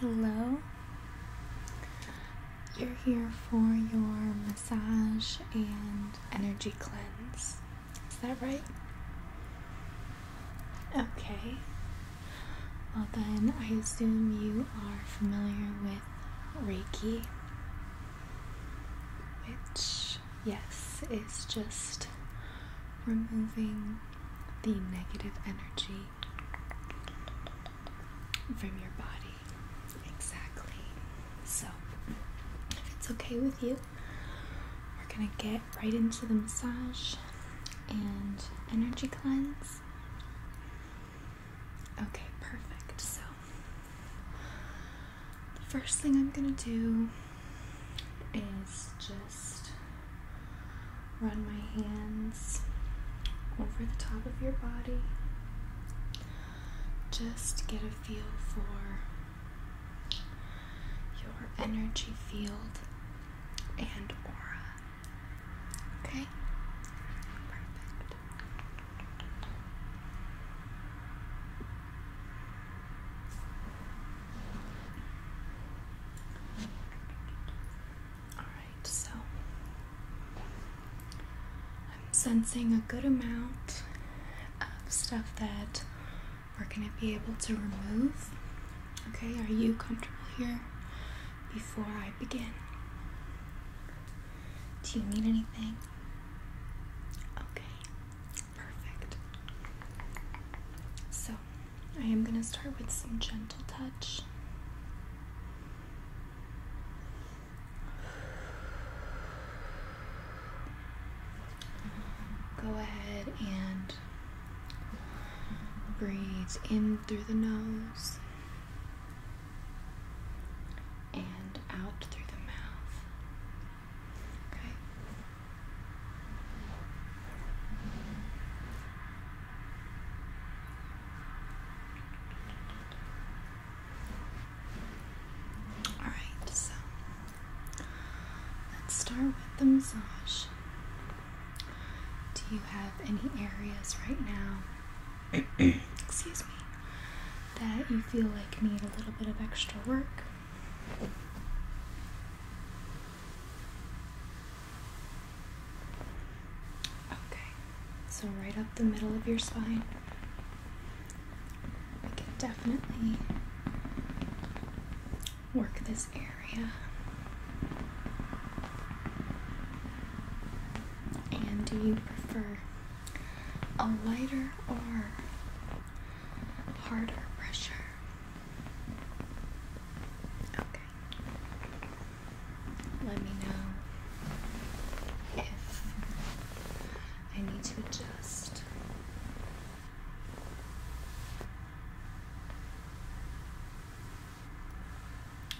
Hello. You're here for your massage and energy cleanse. Is that right? Okay. Well, then I assume you are familiar with Reiki, which yes, it's just removing the negative energy from your body. Exactly. So, if it's okay with you, we're gonna get right into the massage and energy cleanse. Okay, perfect. So, the first thing I'm gonna do is just run my hands over the top of your body just get a feel for your energy field and aura. Okay? Perfect. All right, so I'm sensing a good amount of stuff that we're going to be able to remove. Okay, are you comfortable here before I begin? Do you need anything? Okay perfect. So, I am going to start with some gentle touch. Go ahead and breathe in through the nose and out through the mouth. Okay. All right, so let's start with the massage. Do you have any areas right now, excuse me, that you feel like need a little bit of extra work? Okay, so right up the middle of your spine. We can definitely work this area and do you prefer a lighter or harder pressure. Okay. Let me know if I need to adjust.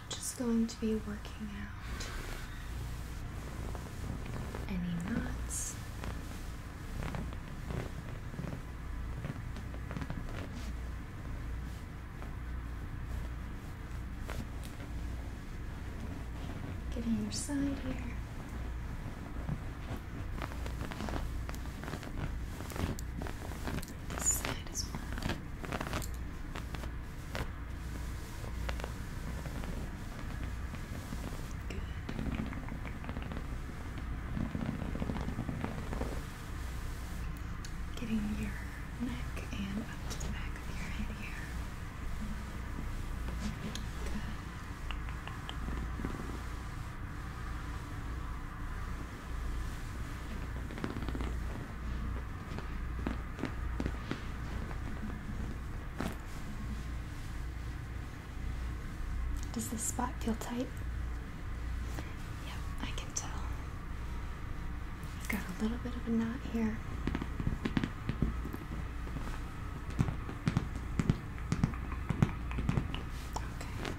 Just going to be working out any knots. Get in your side here. This side as well. Getting your neck and up to the back of your head here. Does this spot feel tight? Yep, I can tell. I've got a little bit of a knot here. Okay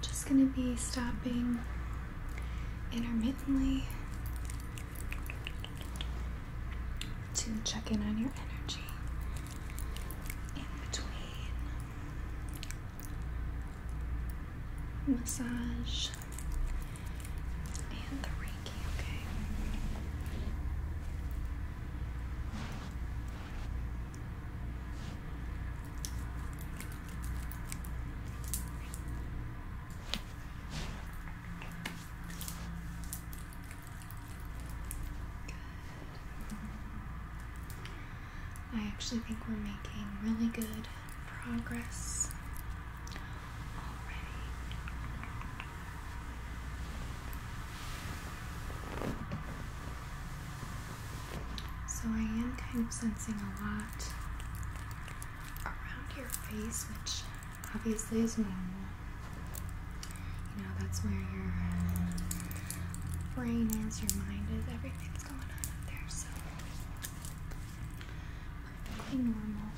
just going to be stopping intermittently to check in on your energy in between massage and the Reiki, okay? I actually think we're making really good progress already. So, I am kind of sensing a lot around your face, which obviously is normal. You know, that's where your brain is, your mind is, everything's going on up there. So, perfectly normal.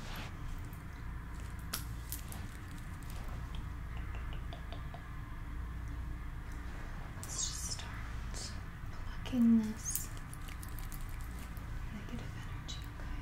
Let's just start plucking this negative energy, okay.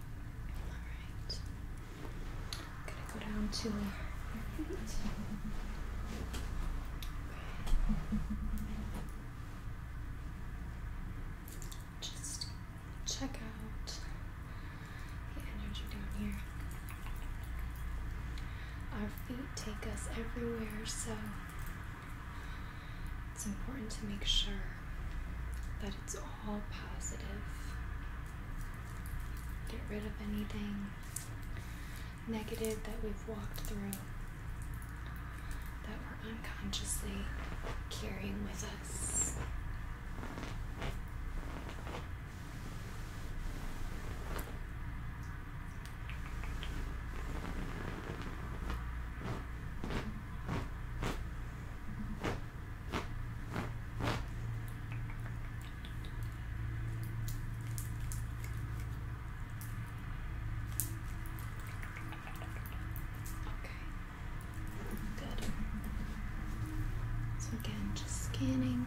Alright. Gonna go down to our feet. Just check out the energy down here. Our feet take us everywhere, so it's important to make sure that it's all all positive. Get rid of anything negative that we've walked through that we're unconsciously carrying with us. Good. So again, just scanning.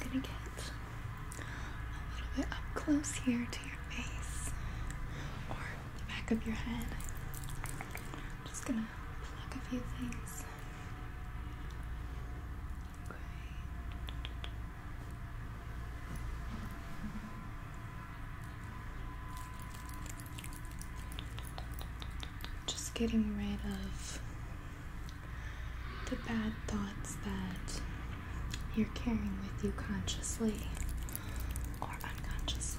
I'm gonna get a little bit up close here to your face or the back of your head. I'm just gonna pluck a few things just getting rid of the bad thoughts that you're carrying with you consciously or unconsciously.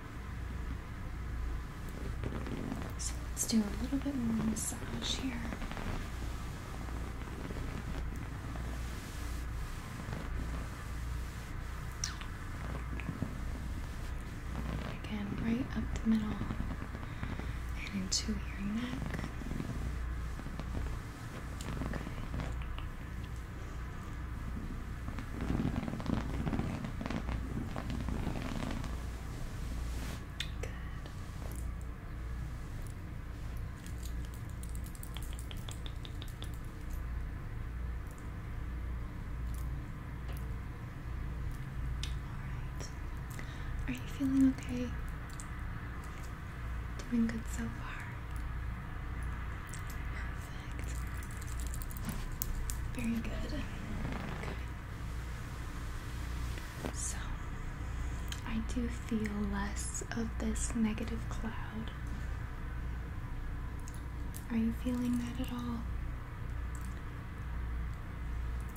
So let's do a little bit more massage here. Again, right up the middle and into your neck. Okay. Good. Alright. Are you feeling okay? Doing good so far. Perfect. Very good. Okay. So, I do feel less of this negative cloud. Are you feeling that at all?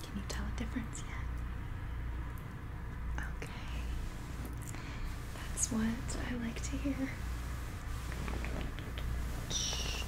Can you tell a difference yet? Okay. That's what I like to hear. Shh.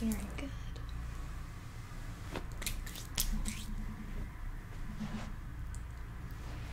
Let me see. Okay. Very good.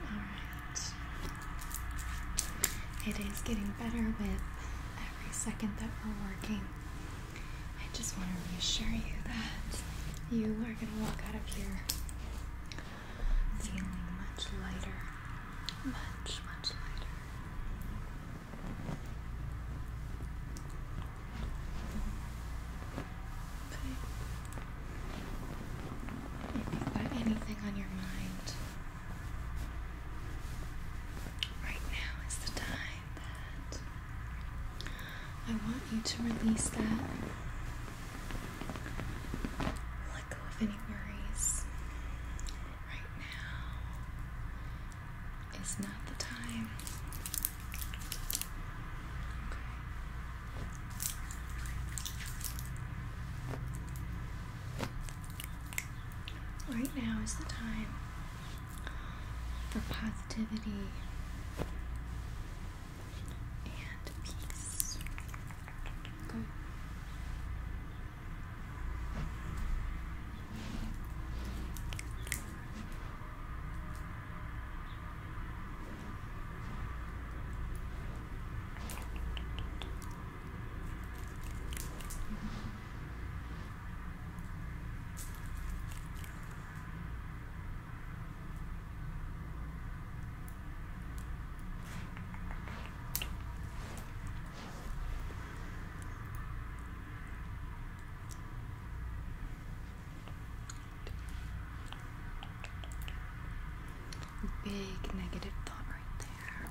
All right. It is getting better with every second that we're working. I just want to reassure you that you are going to walk out of here feeling much lighter, much, much lighter. Okay. If you've got anything on your mind, right now is the time that I want you to release that let go of any worries. Right now is not the time. Right now is the time for positivity and peace. Go. Big negative thought right there.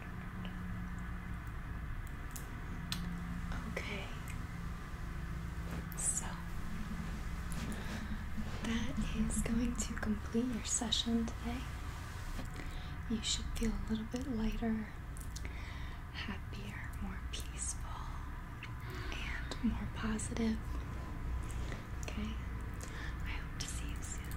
Okay, so that is going to complete your session today. You should feel a little bit lighter, happier, more peaceful, and more positive. Okay, I hope to see you soon.